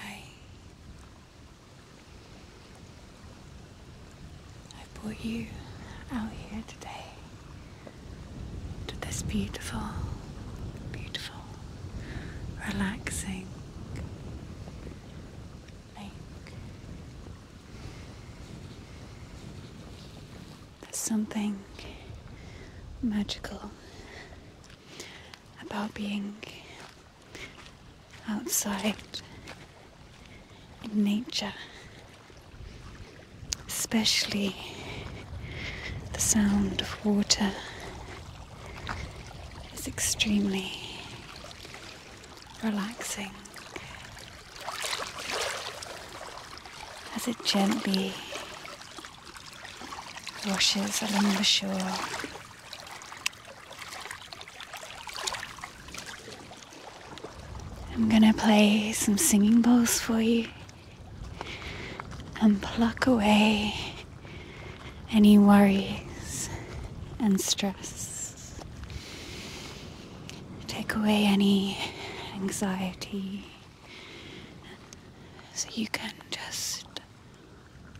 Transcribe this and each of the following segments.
Hi. I brought you out here today to this beautiful, beautiful, relaxing lake. There's something magical about being outside in nature, especially the sound of water is extremely relaxing as it gently washes along the shore. I'm gonna play some singing bowls for you and pluck away any worries and stress. Take away any anxiety so you can just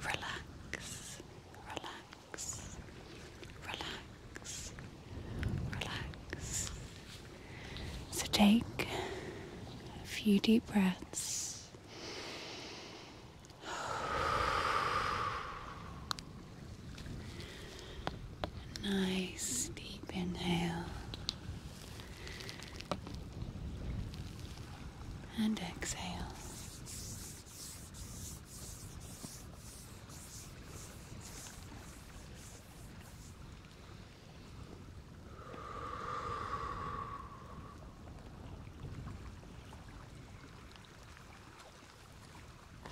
relax, relax, relax, relax. So take a few deep breaths nice deep inhale and exhale.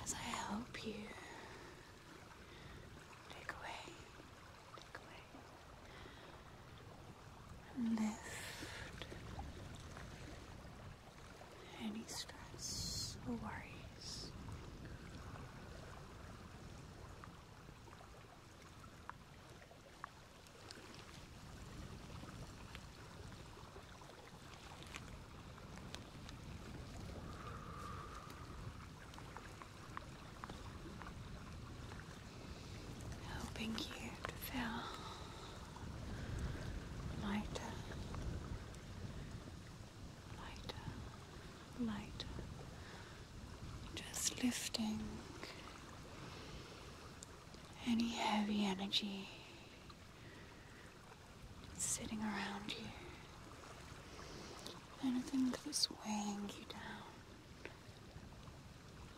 As I help you Take away, take away, and lift any stress or worries. Helping you to feel lighter, lighter, lighter. Just lifting any heavy energy sitting around you. Anything that's weighing you down,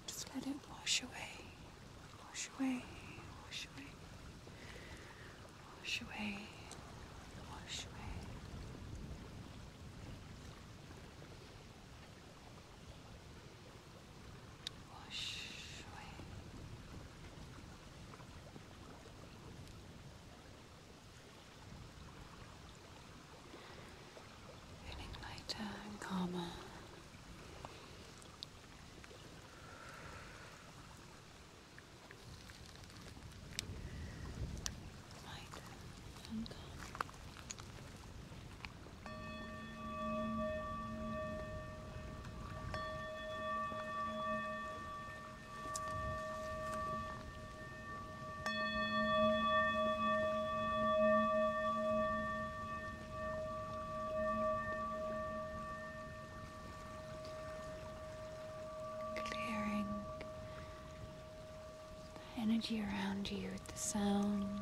just let it wash away, wash away, wash away, wash away, wash away. Wash away. Feeling lighter and calmer. Lighter and calmer. Clearing the energy around you with the sounds.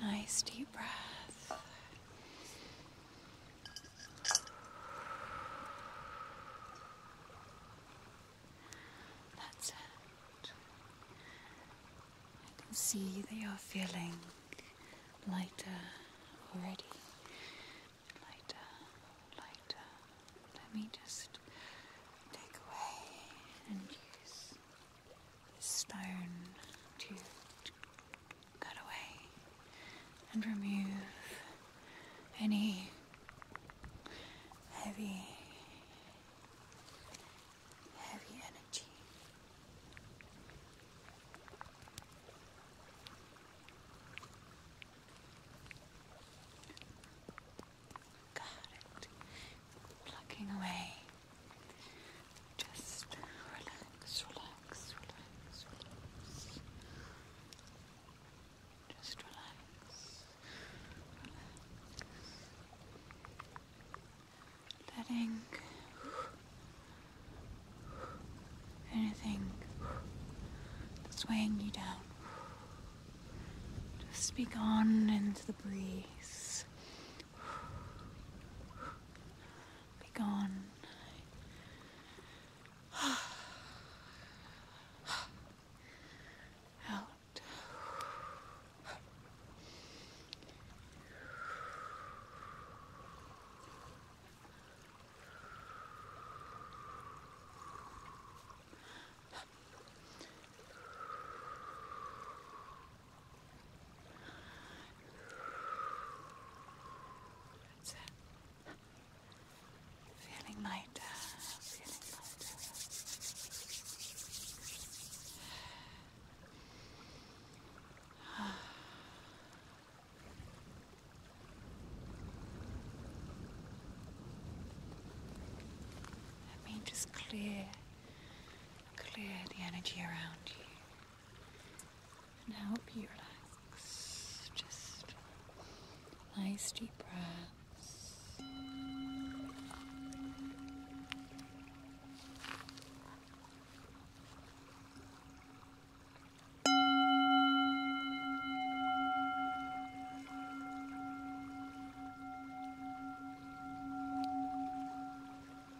Nice deep breath. I can see that you're feeling lighter already. Lighter, lighter. Let me just take away and use stone to cut away and remove any heavy, heavy energy. Got it. Plucking away just relax, relax, relax, relax. Just relax, relax. Letting anything that's weighing you down just be gone into the breeze. Be gone. Out. That's it. feeling lighter. Let me just clear Clear the energy around you and help you relax. Just nice deep breaths.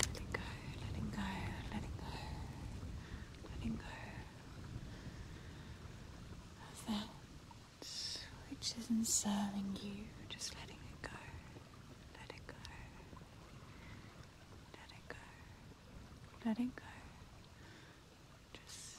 Let it go, let it go, let it go, let go. that which isn't serving you, just letting it go, let it go, let it go, let it go. Just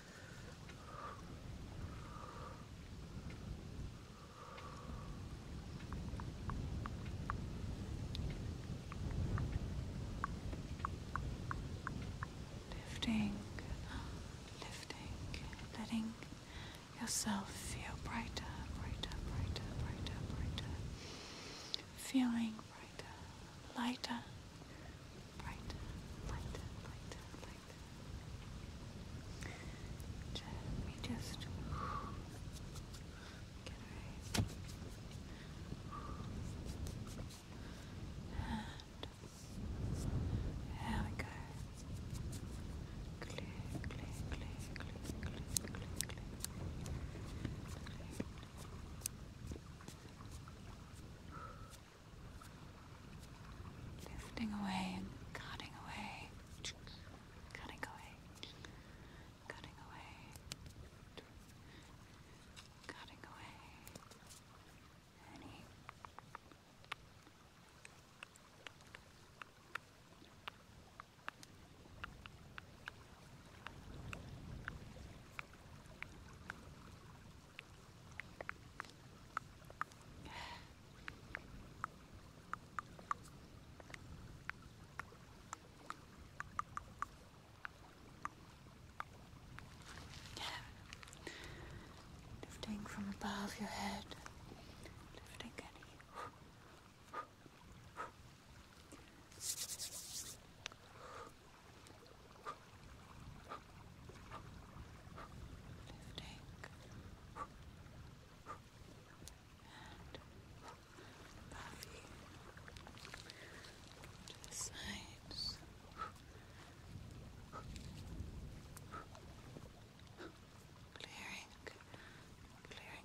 Lifting, lifting, letting yourself feel brighter, brighter, brighter, brighter, brighter. Feeling brighter, lighter. Brighter, lighter, lighter, lighter. Let me just get away. And there we go. Clear, clear, clear, clear, clear, clear, clear. clear. Clear. Lifting away and cutting away. Cutting away. Cutting away. Cutting away. Any Cutting away, Lifting from above your head, lifting any lifting and puffy to the sides. Clearing, clearing.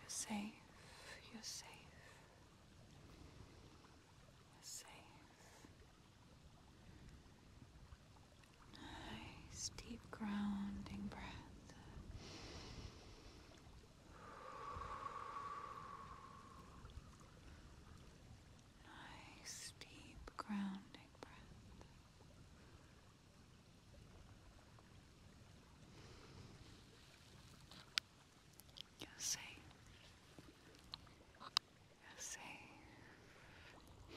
You're safe. You're safe. You're safe. Nice deep grounding breath. Nice deep grounding breath. You're safe. you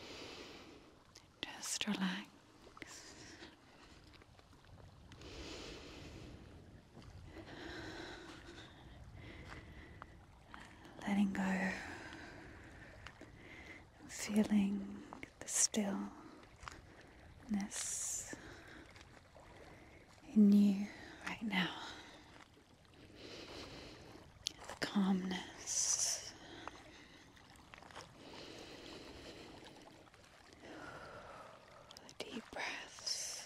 Just relax. Letting go of feelings the stillness in you right now, the calmness. The deep breaths.